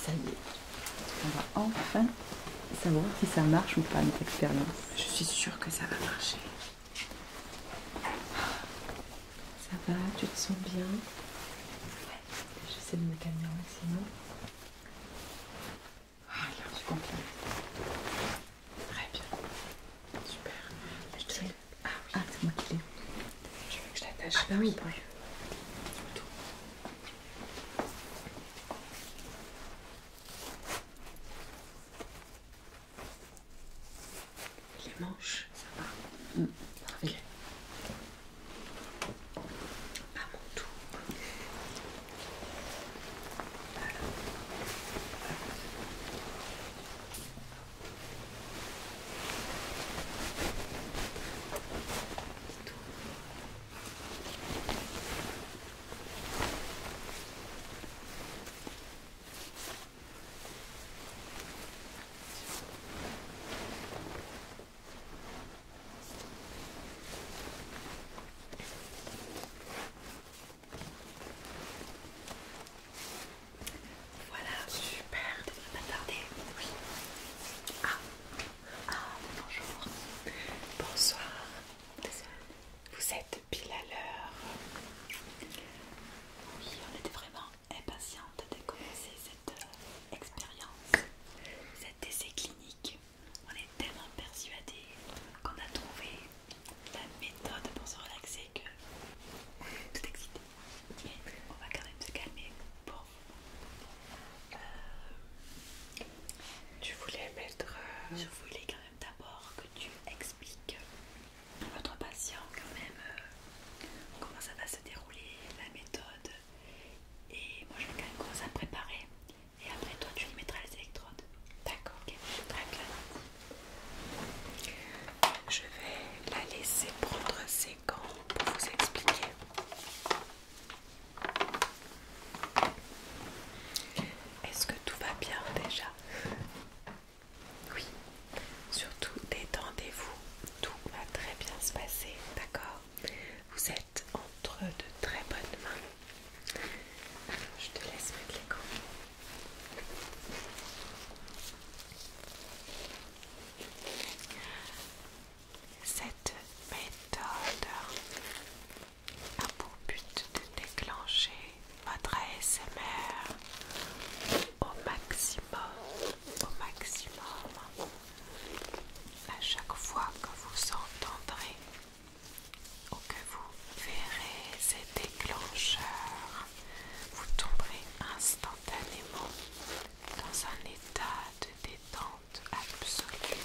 Ça y est, on va enfin savoir si ça marche ou pas notre expérience. Je suis sûre que ça va marcher. Ça va, tu te sens bien ouais. J'essaie de me calmer au maximum. Ah, là, je comprends. Très bien. Super. Je ah, ah c'est moi qui l'ai. Je veux que je t'attache. Ah bah oui. Pour... Tout. Les manches, ça va. Mm. Ok Okay. À mon tour. Voilà. Voilà, super, Attendez. Oui. Ah. Ah, bonjour. Bonsoir. Vous êtes pile à l'heure. Oui, on était vraiment impatiente de commencer cette euh, expérience, cet essai clinique. On est tellement persuadés qu'on a trouvé la méthode pour se relaxer que on tout excité. on va quand même se calmer pour je euh, voulais mettre. Euh, je voulais quand même d'abord que tu expliques à votre patient quand même euh, comment ça va se dérouler, la méthode. Et moi je vais quand même commencer à préparer. Et après toi tu y mettras les électrodes. D'accord, Je vais la laisser prendre ses pour vous expliquer. Est-ce que tout va bien déjà Oui. Surtout détendez-vous. Tout va très bien se passer, d'accord Vous êtes entre de très bonnes mains. je te laisse mettre les gants. Cette méthode a pour but de déclencher votre ASMR au maximum, au maximum, à chaque fois que vous entendrez ou que vous verrez ces déclencheurs, vous tomberez instantanément dans un état de détente absolue.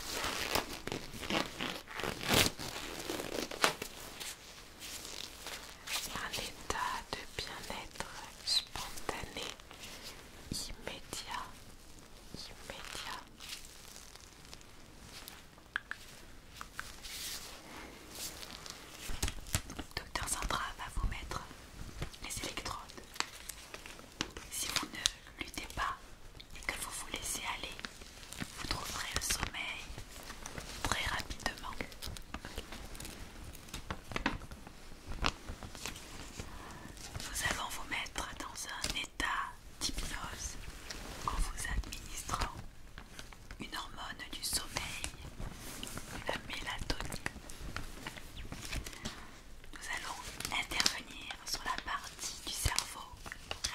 Un état de bien-être spontané, immédiat, immédiat. Docteur Sandra va vous mettre les électrodes. Si vous ne luttez pas et que vous vous laissez aller, vous trouverez le sommeil très rapidement. Nous allons vous mettre dans un état d'hypnose en vous administrant une hormone du sommeil, la mélatonine nous allons intervenir sur la partie du cerveau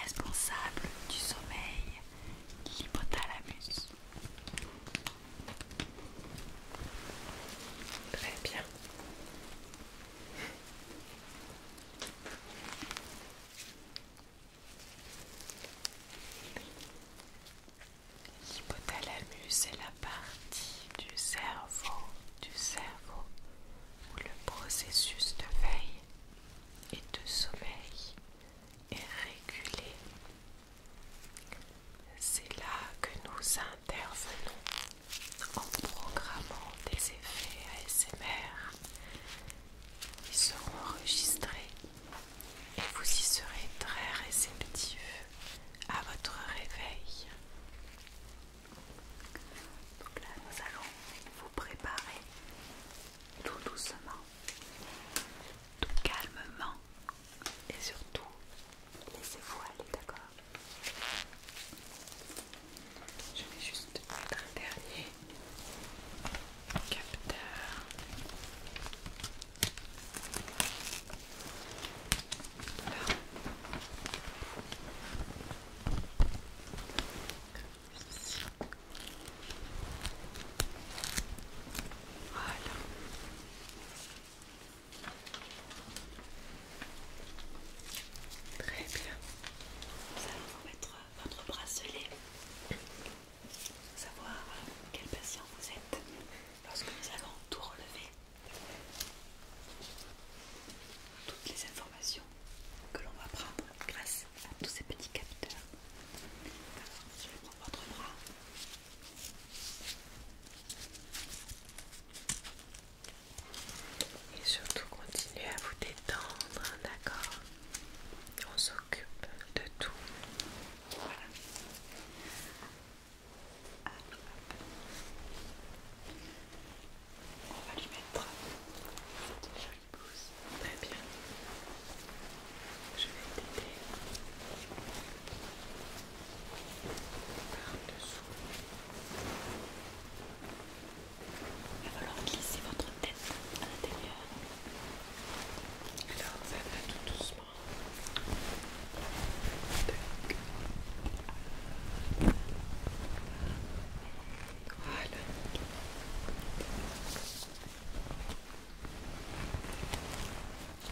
responsable du sommeil, l'hypothalamus. Très bien. L'hypothalamus est la partie du cerveau, du cerveau où le processus de veille et de sommeil est régulé. C'est là que nous intervenons en programmant des effets ASMR qui seront enregistrés et vous y serez très réceptif à votre réveil. Donc là, nous allons vous préparer tout doucement, tout calmement et surtout laissez-vous aller, d'accord Je vais juste mettre un dernier capteur. Voilà. Très bien. Nous allons vous mettre votre bracelet savoir euh, quel patient vous êtes lorsque nous allons tout relever toutes les informations que l'on va prendre grâce à tous ces petits capteurs. Alors, je vais prendre votre bras. Et surtout, continuez à vous détendre, d'accord On s'occupe de tout. Voilà. On va lui mettre cette jolie blouse. Très bien. Je vais t'aider par-dessous. Il va falloir glisser votre tête à l'intérieur. Alors, ça va tout doucement doucement.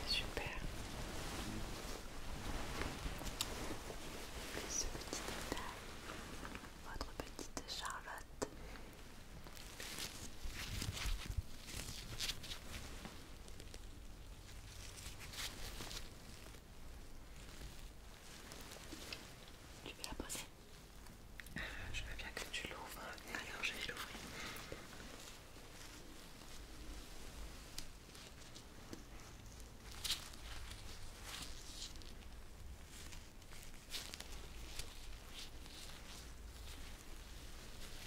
Super. Ce petit détail, votre petite Charlotte. Tu veux la poser euh, Je veux bien que tu l'ouvres. Hein. Alors j'ai vais l'ouvrir.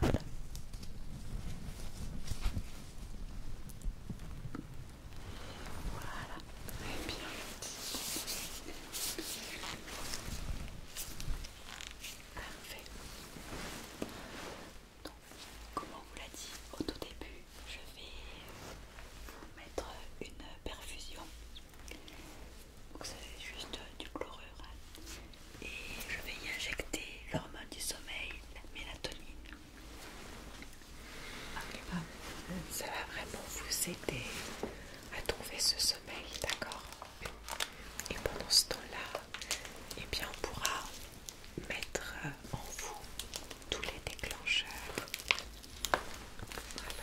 Voilà. et bien. Parfait. Donc, comme on vous l'a dit au tout début, je vais vous mettre une perfusion. Donc, c'est juste du chlorure. Hein et je vais y injecter l'hormone du sommeil, la mélatonine. ça va vraiment vous aider à trouver ce sommeil, d'accord Et pendant ce temps-là, eh bien, on pourra mettre en vous tous les déclencheurs. Voilà.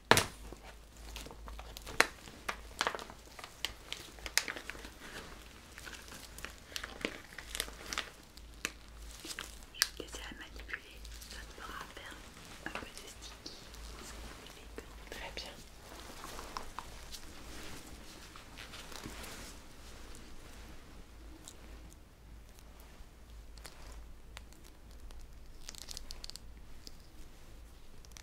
Je vais manipuler, ça te faire un peu de sticky. Très bien. Tu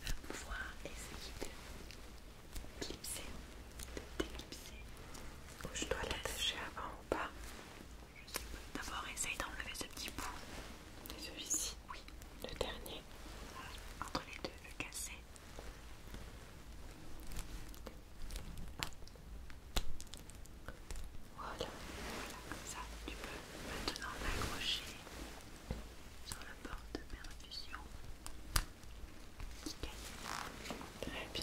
vas pouvoir essayer de clipser, de t'éclipser. Ou je dois l'attacher avant ou pas D'abord, essaye d'enlever ce petit bout. de celui-ci Oui. Le dernier. Entre les deux, le casser. Voilà. Voilà, comme ça. Tu peux maintenant l'accrocher sur la porte de perfusion. Très bien.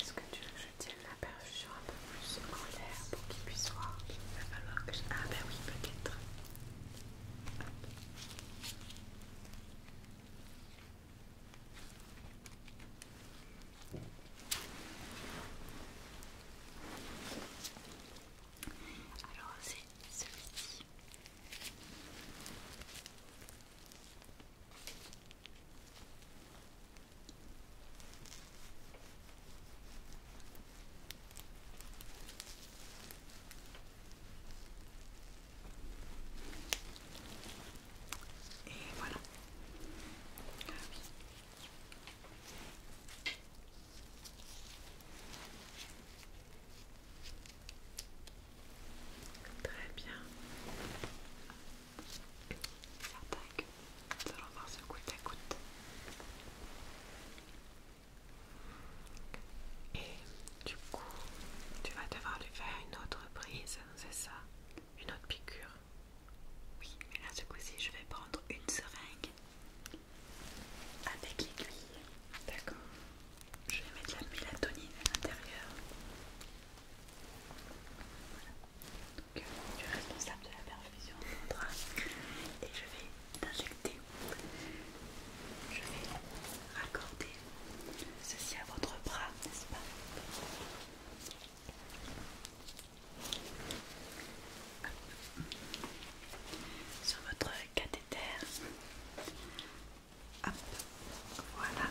Est-ce que tu veux que je tienne la perfusion un peu plus en l'air pour qu'il puisse voir Il va falloir que je... Ah ben oui, peut-être. Alors c'est celui-ci. Et voilà. Très bien certain que nous allons voir ce coup à goutte. Et du coup, tu vas devoir lui faire une autre prise, c'est ça Une autre piqûre Oui, mais là, ce coup-ci, je vais prendre une seringue avec l'aiguille. D'accord Je vais mettre la mélatonine à l'intérieur. Voilà. Euh, je suis responsable de la perfusion de mon bras et je vais injecter je vais raccorder ceci à votre bras n'est-ce pas sur votre cathéter Hop, voilà.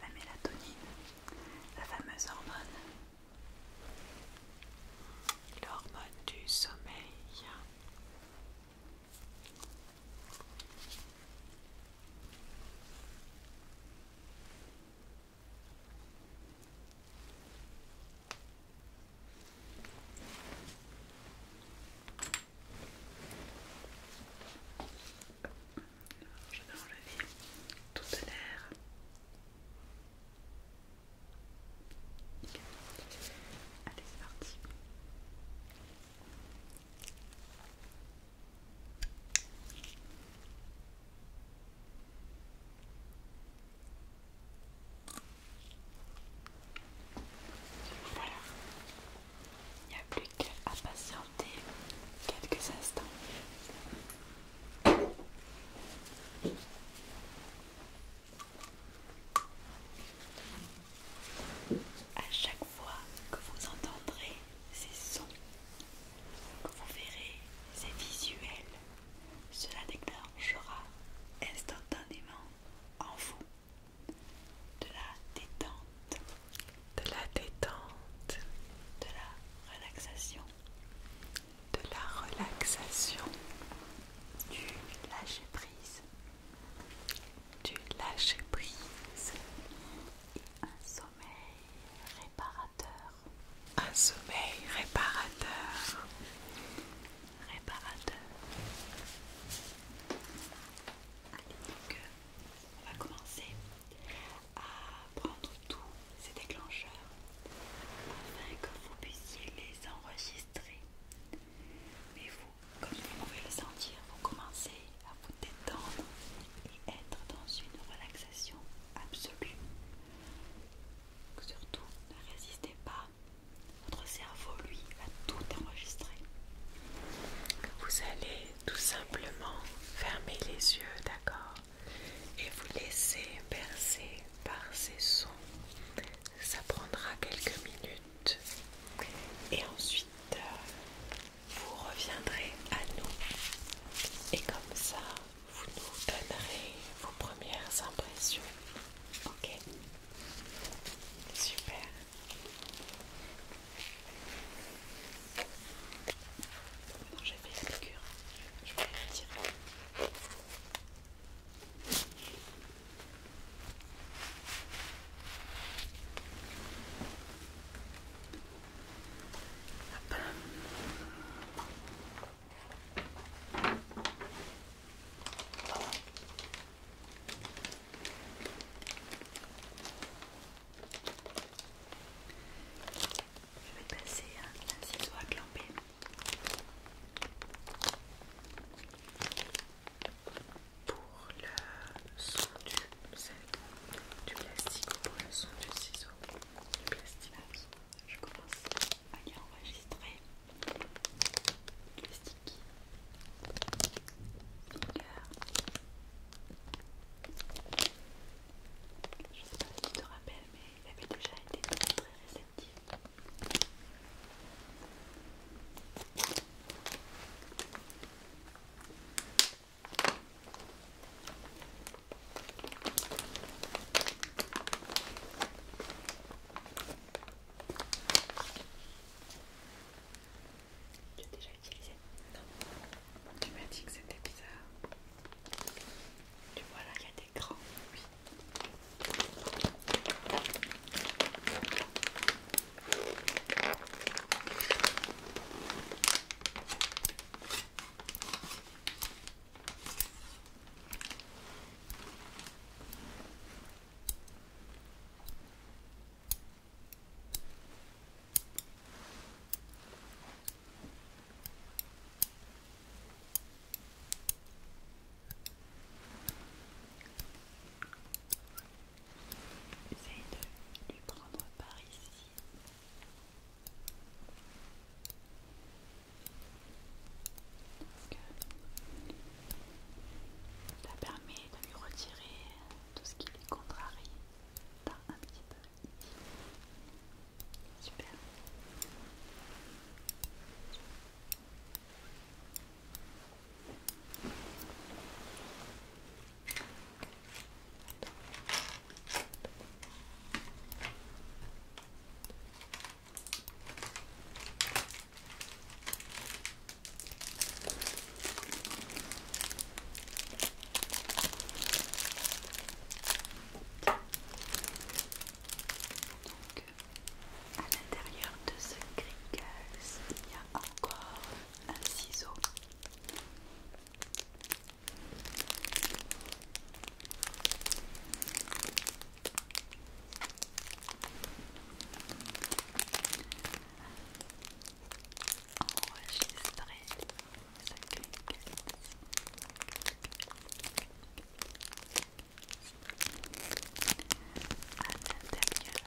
la mélatonine, la fameuse hormone, l'hormone du sommeil je vais enlever toute l'air. Allez, c'est parti. Voilà. Il n'y a plus qu'à patienter quelques instants. À chaque fois que vous entendrez ces sons, que vous verrez ces visuels, cela déclenchera instantanément en vous de la détente, de la détente, de la relaxation, de la relaxation, du lâcher prise, du lâcher prise, et un sommeil réparateur, un sommeil réparateur, réparateur on va commencer à prendre tous ces déclencheurs afin que vous puissiez les enregistrer. Mais vous, comme vous pouvez le sentir, vous commencez à vous détendre et être dans une relaxation absolue. Surtout, ne résistez pas. Votre cerveau, lui, a tout enregistré. Vous allez tout simplement fermer les yeux, d'accord Et vous laisser bercer par ces sons. Ça prendra quelques minutes. Et ensuite, euh, vous reviendrez à nous. Et comme ça, vous nous donnerez vos premières impressions. Ok Super j'ai fait la piqûre. Je voulais la tirer. Je vais passer un ciseau à clamper. Pour le son du, plastique ou pour le son du ciseau le plastique. Je commence à y enregistrer le sticky. Je sais pas si tu te rappelles, mais il avait déjà été très très réceptif. Tu as déjà utilisé Non. Tu m'as dit que c'était bizarre. Tu vois là, il y a des grands. Oui. J'essaie de lui prendre par ici. ça permet de lui retirer tout ce qui est contrarié par un petit peu ici. Super à l'intérieur de ce cricax, il y a encore un ciseau enregistrer ce À l'intérieur de votre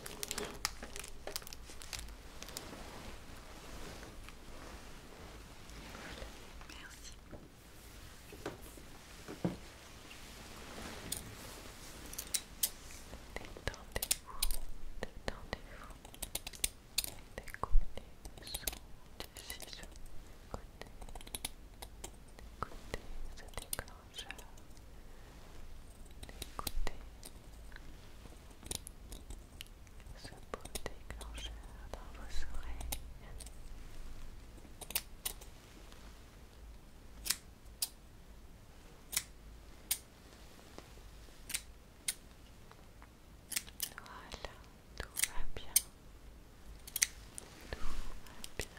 Merci. Détendez-vous, détendez-vous. son Écoutez, écoutez ce décor changeur d'écouter ce beau déclencheur dans vos oreilles. Voilà, tout va bien. Tout va bien.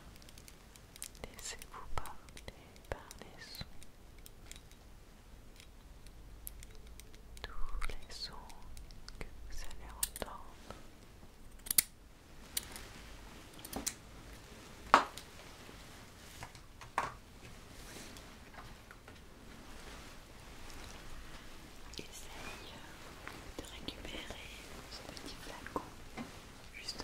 Laissez-vous porter par les sons. Tous les sons que vous allez entendre. Essaye de récupérer ce petit flacon juste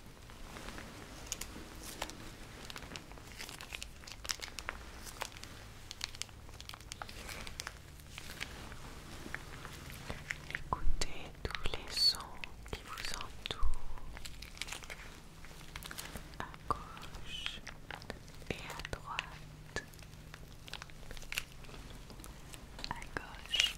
Écoutez tous les sons qui vous entourent à gauche et à droite. À gauche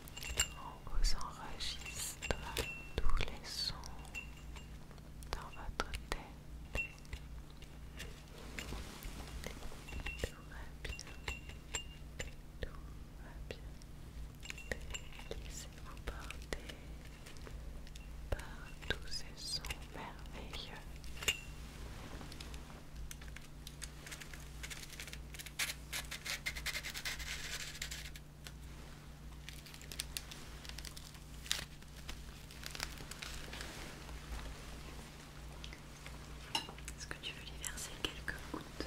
On vous enregistre tous les sons dans votre tête. Tout va bien, tout va bien. Laissez-vous porter par tous ces sons merveilleux. Est-ce que tu veux lui verser quelques gouttes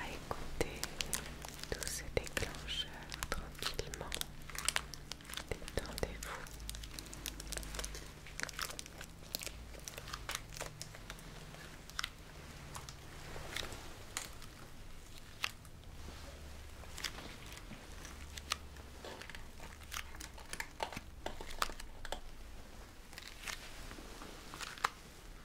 à écouter tous ces déclencheurs tranquillement. Détendez-vous.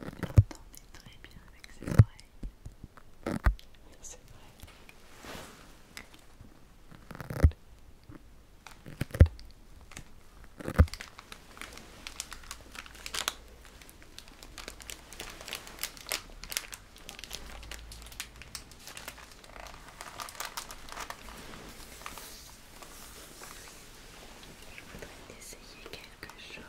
l'entendez très bien avec ses oreilles. C'est vrai. Je voudrais essayer quelque chose.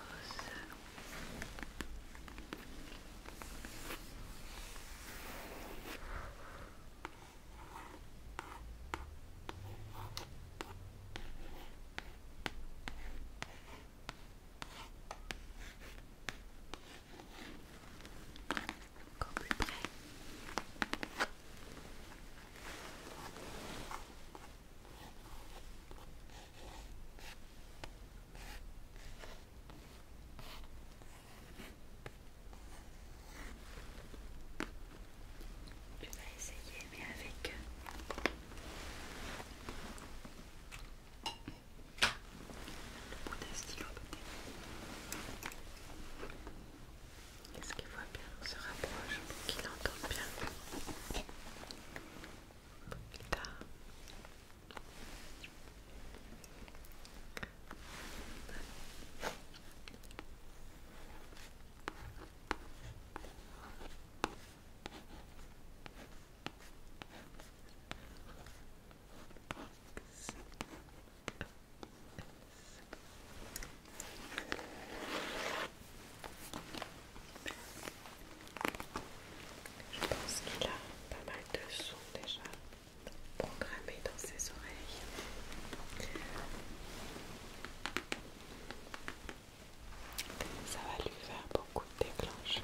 Encore plus près. Je vais essayer, mais avec euh, est-ce qu'il voit bien On se rapproche pour qu'il entende bien. Plus tard. Je pense qu'il a pas mal de sons déjà programmés dans ses oreilles. Ça va lui faire beaucoup de déclencheurs.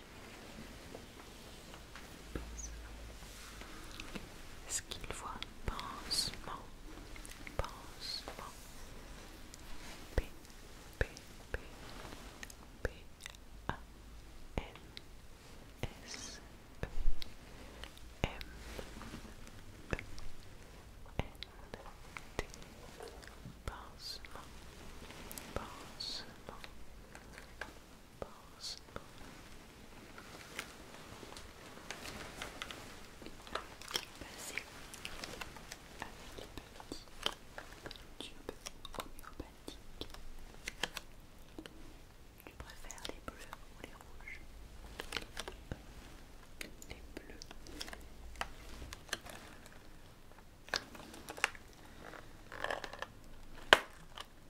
Est-ce qu'il voit pansement Pansement P P P P A N S E M E N T Pansement Pansement Pansement possible. Passer avec les petits tubes homéopathiques. Tu préfères les bleus ou les rouges Les bleus.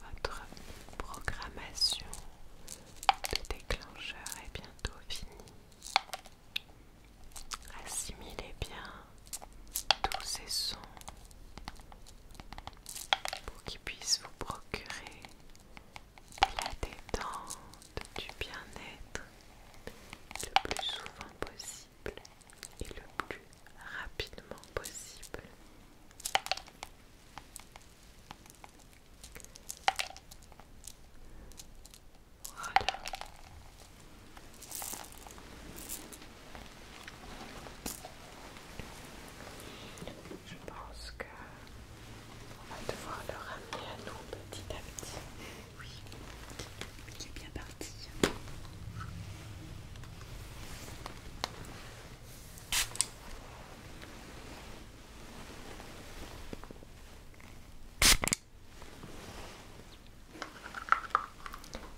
Votre programmation de déclencheur est bientôt finie. Assimilez bien tous ces sons pour qu'ils puissent vous procurer de la détente, du bien-être le plus souvent possible et le plus rapidement possible. Je pense que on va devoir le ramener à nous petit à petit. Oui, il est bien parti.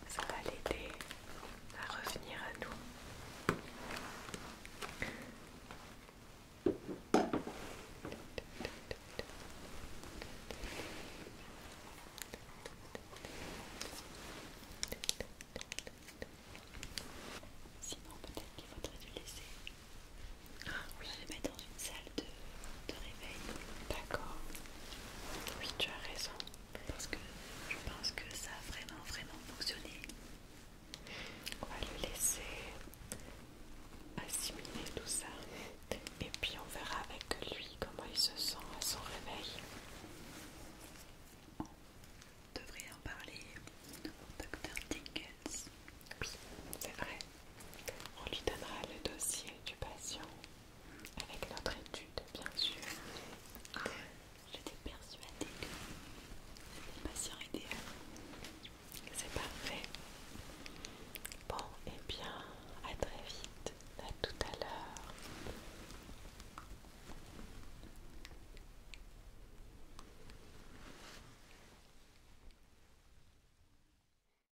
Ça va l'aider à revenir à nous. Sinon, peut-être qu'il faudrait le laisser. Ah oui, mettre dans une salle de, réveil. D'accord. Oui, tu as raison. Parce que je pense que ça a vraiment, vraiment fonctionné. On va le laisser assimiler tout ça. Et puis on verra avec lui comment il se sent à son réveil. On devrait en parler au docteur Dickens. Oui, c'est vrai. On lui donnera le dossier du patient avec notre étude, bien sûr. Ah. J'étais persuadée que c'était le patient idéal. C'est parfait. Bon, et eh bien, à très vite, à tout à l'heure.